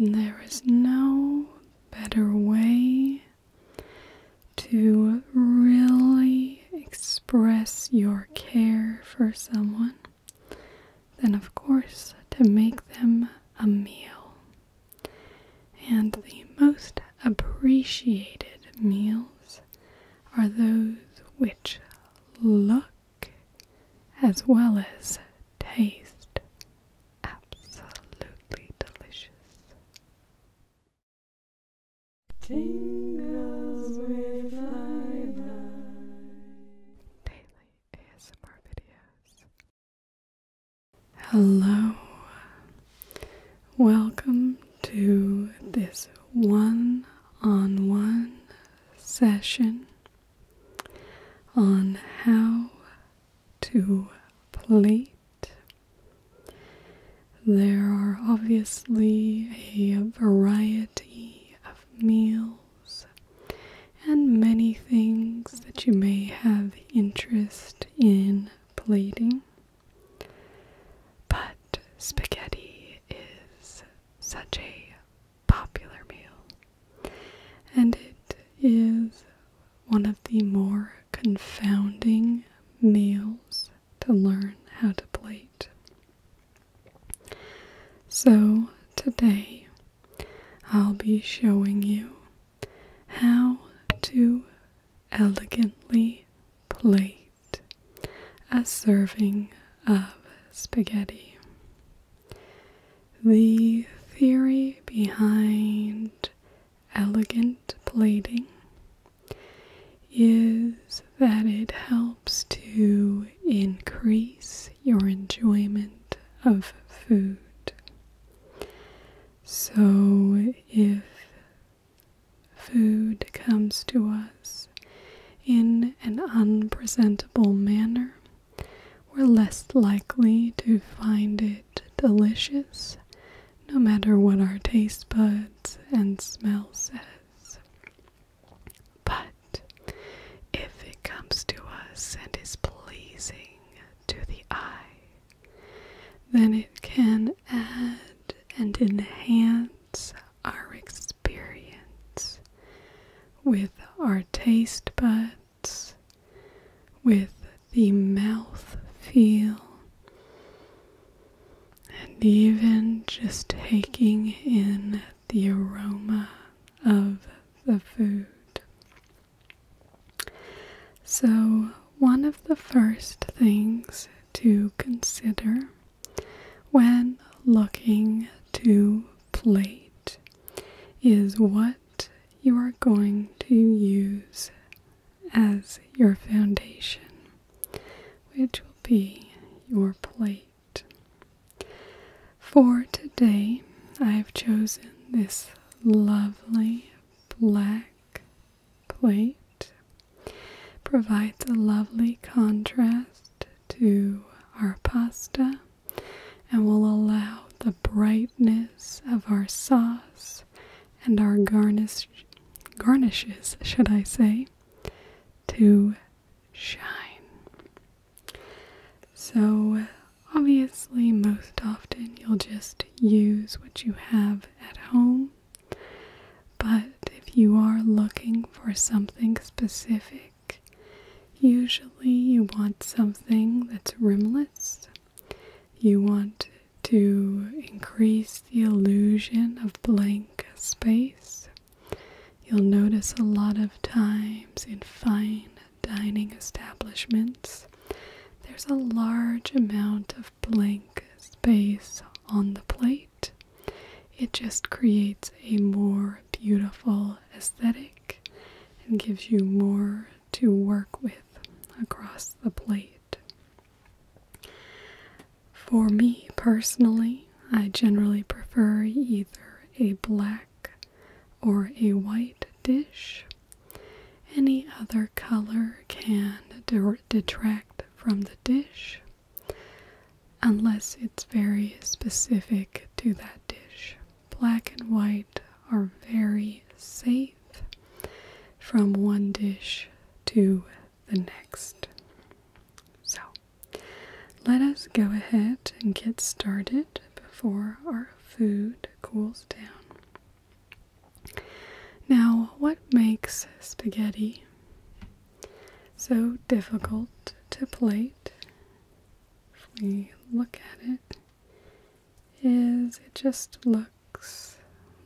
There is no better way to really express your care for someone than, of course, to make them a meal. And the most appreciated meals are those which look as well as taste absolutely delicious. Daily ASMR videos. Hello. Welcome to this one on one session on how to plate. There are obviously a variety of meals and many things that you may have interest in plating. But spaghetti is such a popular meal, and it is one of the more confounding meals to learn how to plate. So, today I'll be showing you how to elegantly plate a serving of spaghetti. The theory behind elegant plating is that it helps to increase your enjoyment of food. So, if food comes to us in an unpresentable manner, we're less likely to find it delicious, no matter what our taste buds and smell says. But if it comes to us and is pleasing to the eye, then it can add and enhance our experience with our taste buds, with the mouth feel, and even just taking in the aroma of the food. So, one of the first things to consider when looking to plate is what you are going to use as your foundation, which will be your plate. For today, I have chosen this lovely black plate. Provides a lovely contrast to our pasta and will allow the brightness of our sauce and our garnish garnishes, should I say, to shine. So obviously most often you'll just use what you have at home. But if you are looking for something specific, Usually, you want something that's rimless. You want to increase the illusion of blank space. You'll notice a lot of times in fine dining establishments, there's a large amount of blank space on the plate it just creates a more beautiful aesthetic and gives you more to work with across the plate. For me personally, I generally prefer either a black or a white dish. Any other color can detract from the dish unless it's very specific to that dish. Black and white are very safe from one dish to the next. So, let us go ahead and get started before our food cools down. Now, what makes spaghetti so difficult to plate if we look at it, is it just looks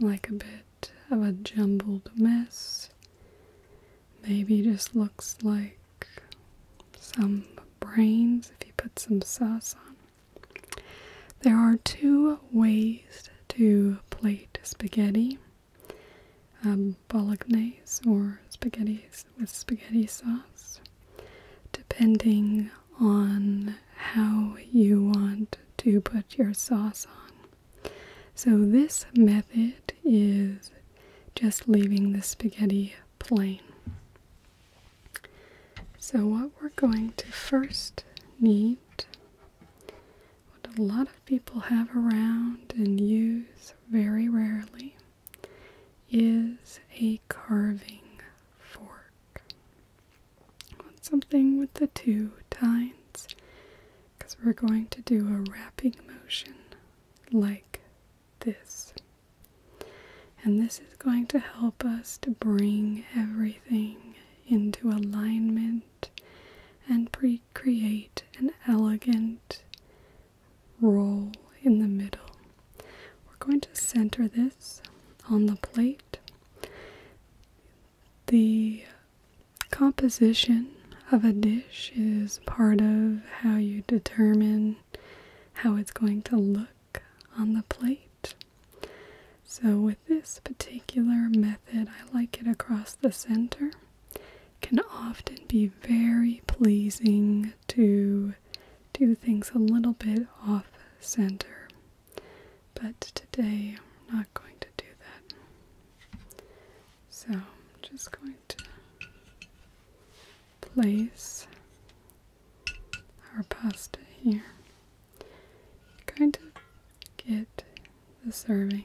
like a bit of a jumbled mess. Maybe just looks like some brains if you put some sauce on. There are two ways to plate spaghetti. Um, bolognese or spaghetti with spaghetti sauce, depending on how you want to put your sauce on. So, this method is just leaving the spaghetti plain. So, what we're going to first need, what a lot of people have around and use very rarely, is a carving fork. something with the two tines because we're going to do a wrapping motion like this. And this is going to help us to bring everything into alignment and pre create an elegant roll in the middle. We're going to center this on the plate. The composition of a dish is part of how you determine how it's going to look on the plate. So, with this particular method, I like it across the center can often be very pleasing to do things a little bit off center. But today I'm not going to do that. So I'm just going to place our pasta here. Kind of get the serving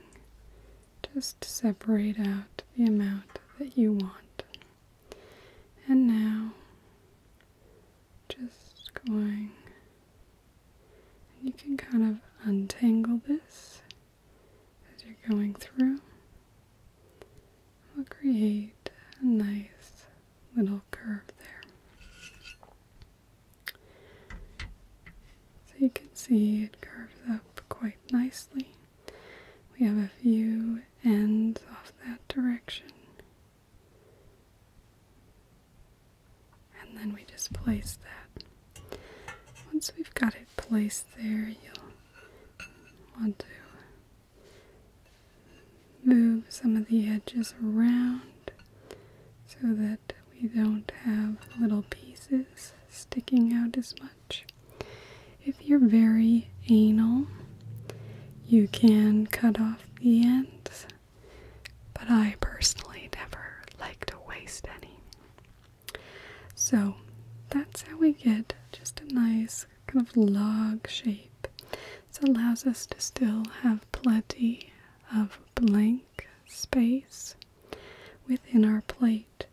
just separate out the amount that you want. And now, just going, you can kind of untangle this as you're going through. We'll create a nice little curve there. So you can see it curves up quite nicely. We have a few ends off that direction. And then we just place that. Once we've got it placed there, you'll want to move some of the edges around so that we don't have little pieces sticking out as much. If you're very anal, you can cut off the ends, but I personally never like to waste any. So that's how we get just a nice kind of log shape. This allows us to still have plenty of blank space within our plate.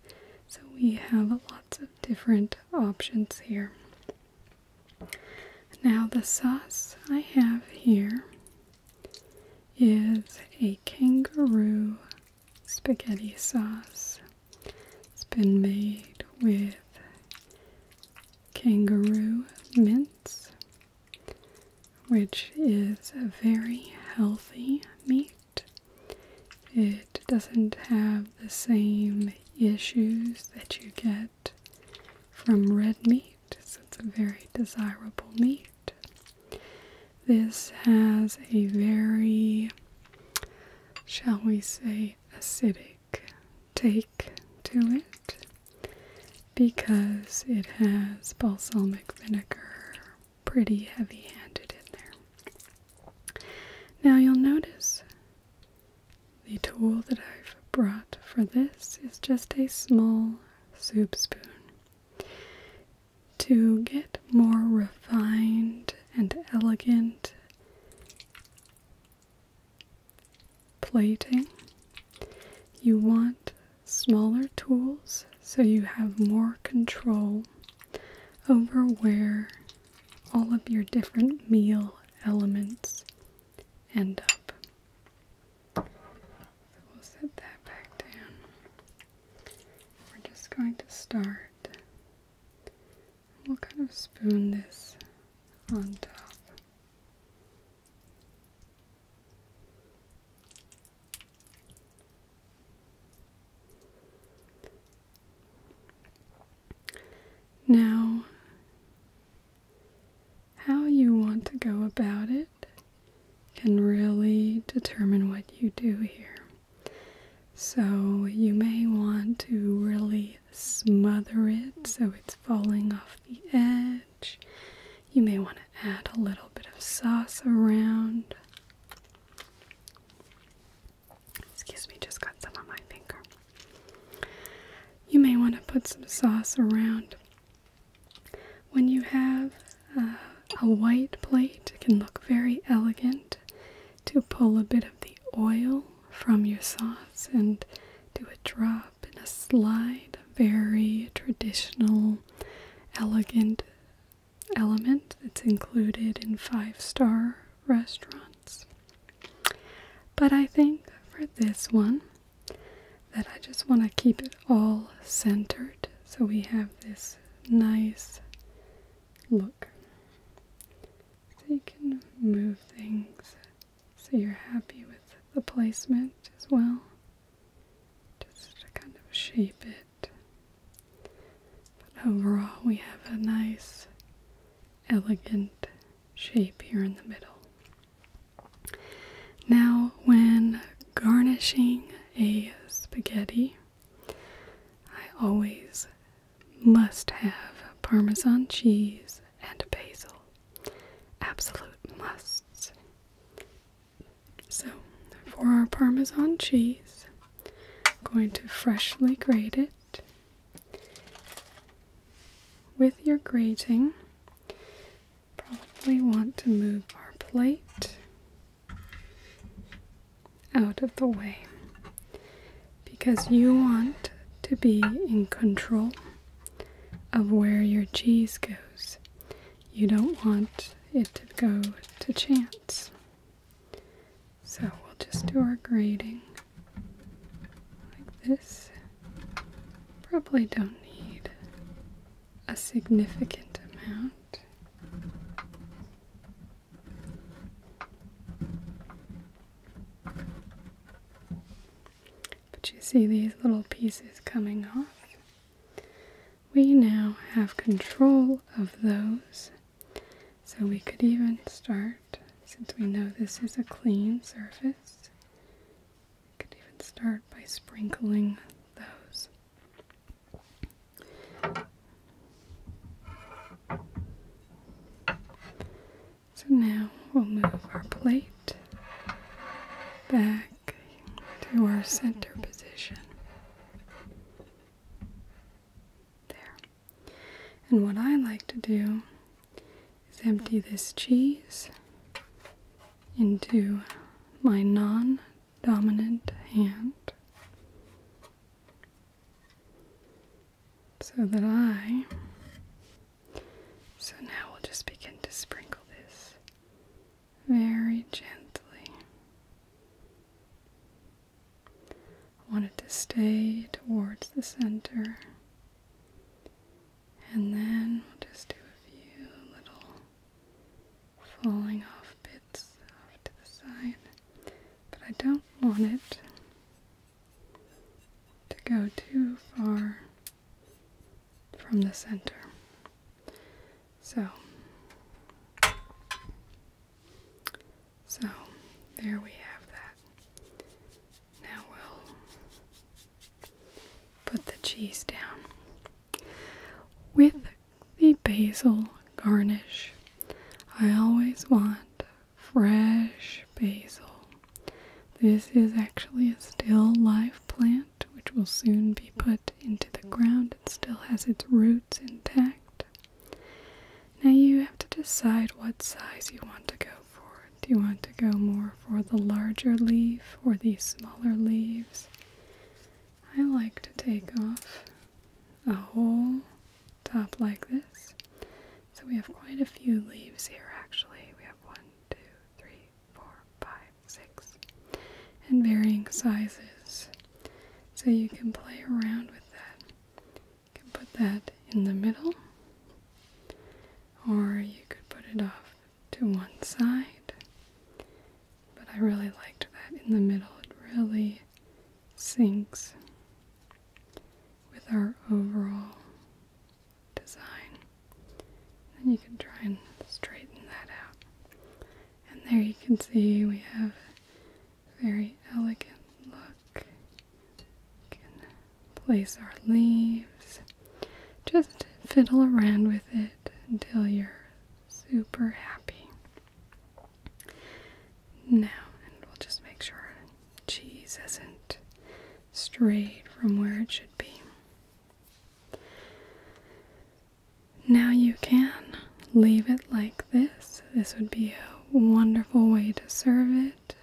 So we have lots of different options here. Now, the sauce I have here is a kangaroo spaghetti sauce. It's been made with kangaroo mince, which is a very healthy meat. It doesn't have the same issues that you get from red meat, so it's a very desirable meat. This has a very, shall we say, acidic take to it because it has balsamic vinegar pretty heavy handed in there. Now you'll notice the tool that I've brought for this is just a small soup spoon. To get more refined and elegant plating, you want smaller tools so you have more control over where all of your different meal elements end up. we'll set that back down. We're just going to start. We'll kind of spoon this on top. Now, how you want to go about it can really determine what you do here. So, you may want to really smother it so it's falling off the edge. You may want to add a little bit of sauce around. Excuse me, just got some on my finger. You may want to put some sauce around. When you have uh, a white plate, it can look very elegant to pull a bit of the oil from your sauce and do a drop and a slide. Very traditional, elegant element that's included in five star restaurants. But I think for this one, that I just want to keep it all centered so we have this nice look. So you can move things so you're happy with the placement as well. Just to kind of shape it. But overall, we have a nice, elegant shape here in the middle. Now, when garnishing a spaghetti, I always must have Parmesan cheese and basil. Absolute musts. So, for our Parmesan cheese, I'm going to freshly grate it. With your grating, probably want to move our plate out of the way because you want to be in control of where your cheese goes you don't want it to go to chance. So we'll just do our grading like this. Probably don't need a significant amount. But you see these little pieces coming off we now have control of those. So we could even start, since we know this is a clean surface, we could even start by sprinkling those. So now we'll move our plate back to our center position. There. And what I like to do is empty this cheese into my non dominant hand so that I. So now we'll just begin to sprinkle this very gently. I want it to stay towards the center. And then we'll just do a few little falling off bits off to the side. But I don't want it to go too far from the center. So, so there we have that. Now we'll put the cheese down with the basil garnish. I always want fresh basil. This is actually a still live plant which will soon be put into the ground, it still has its roots intact. Now you have to decide what size you want to go for. Do you want to go more for the larger leaf or the smaller leaves? I like to take off a whole top like this. So we have quite a few leaves here actually. We have one, two, three, three, four, five, six, and varying sizes. So you can play around with that. You can put that in the middle, or you could put it off to one side. But I really liked that in the middle. It really syncs with our overall design. Then you can try and straighten that out. And there you can see we have a very elegant look. We can place our leaves. Just fiddle around with it until you're super happy. Now, and we'll just make sure cheese isn't strayed from where it should be. Now you can leave it like this. This would be a wonderful way to serve it.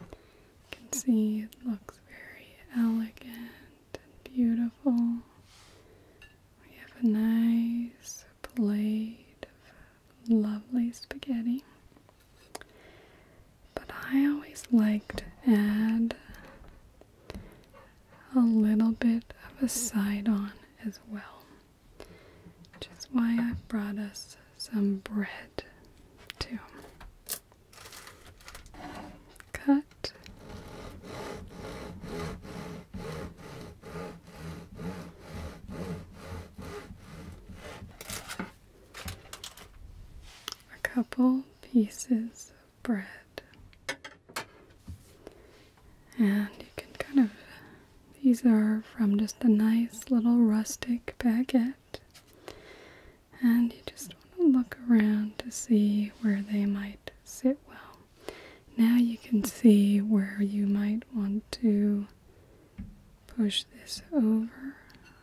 You can see it looks very elegant and beautiful. We have a nice plate of lovely spaghetti. But I always liked to add a little bit of a side on as well, which is why I brought us some bread too. Cut. A couple pieces of bread. And you can kind of, these are from just a nice little rustic baguette. And you just want to look around to see where they might sit well. Now you can see where you might want to push this over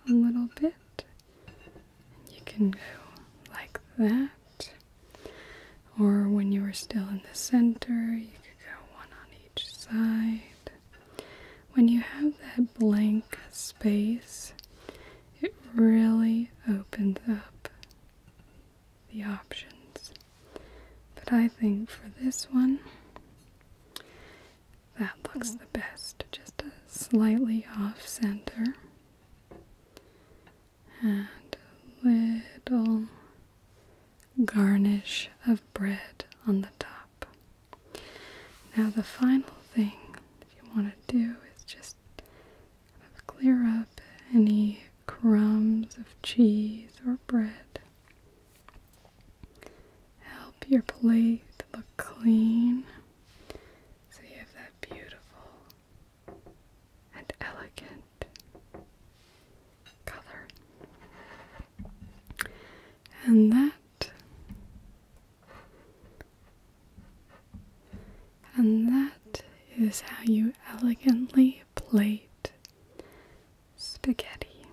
a little bit and you can go like that. Or when you are still in the center, you could go one on each side. When you have that blank space, it really opens up the options. But I think for this one, that looks the best, just a slightly off center. And a little garnish of bread on the top. Now, the final thing that you want to do is just clear up any crumbs of cheese or bread. Help your plate look clean. So you have that beautiful and elegant color. And that and that is how you elegantly plate spaghetti.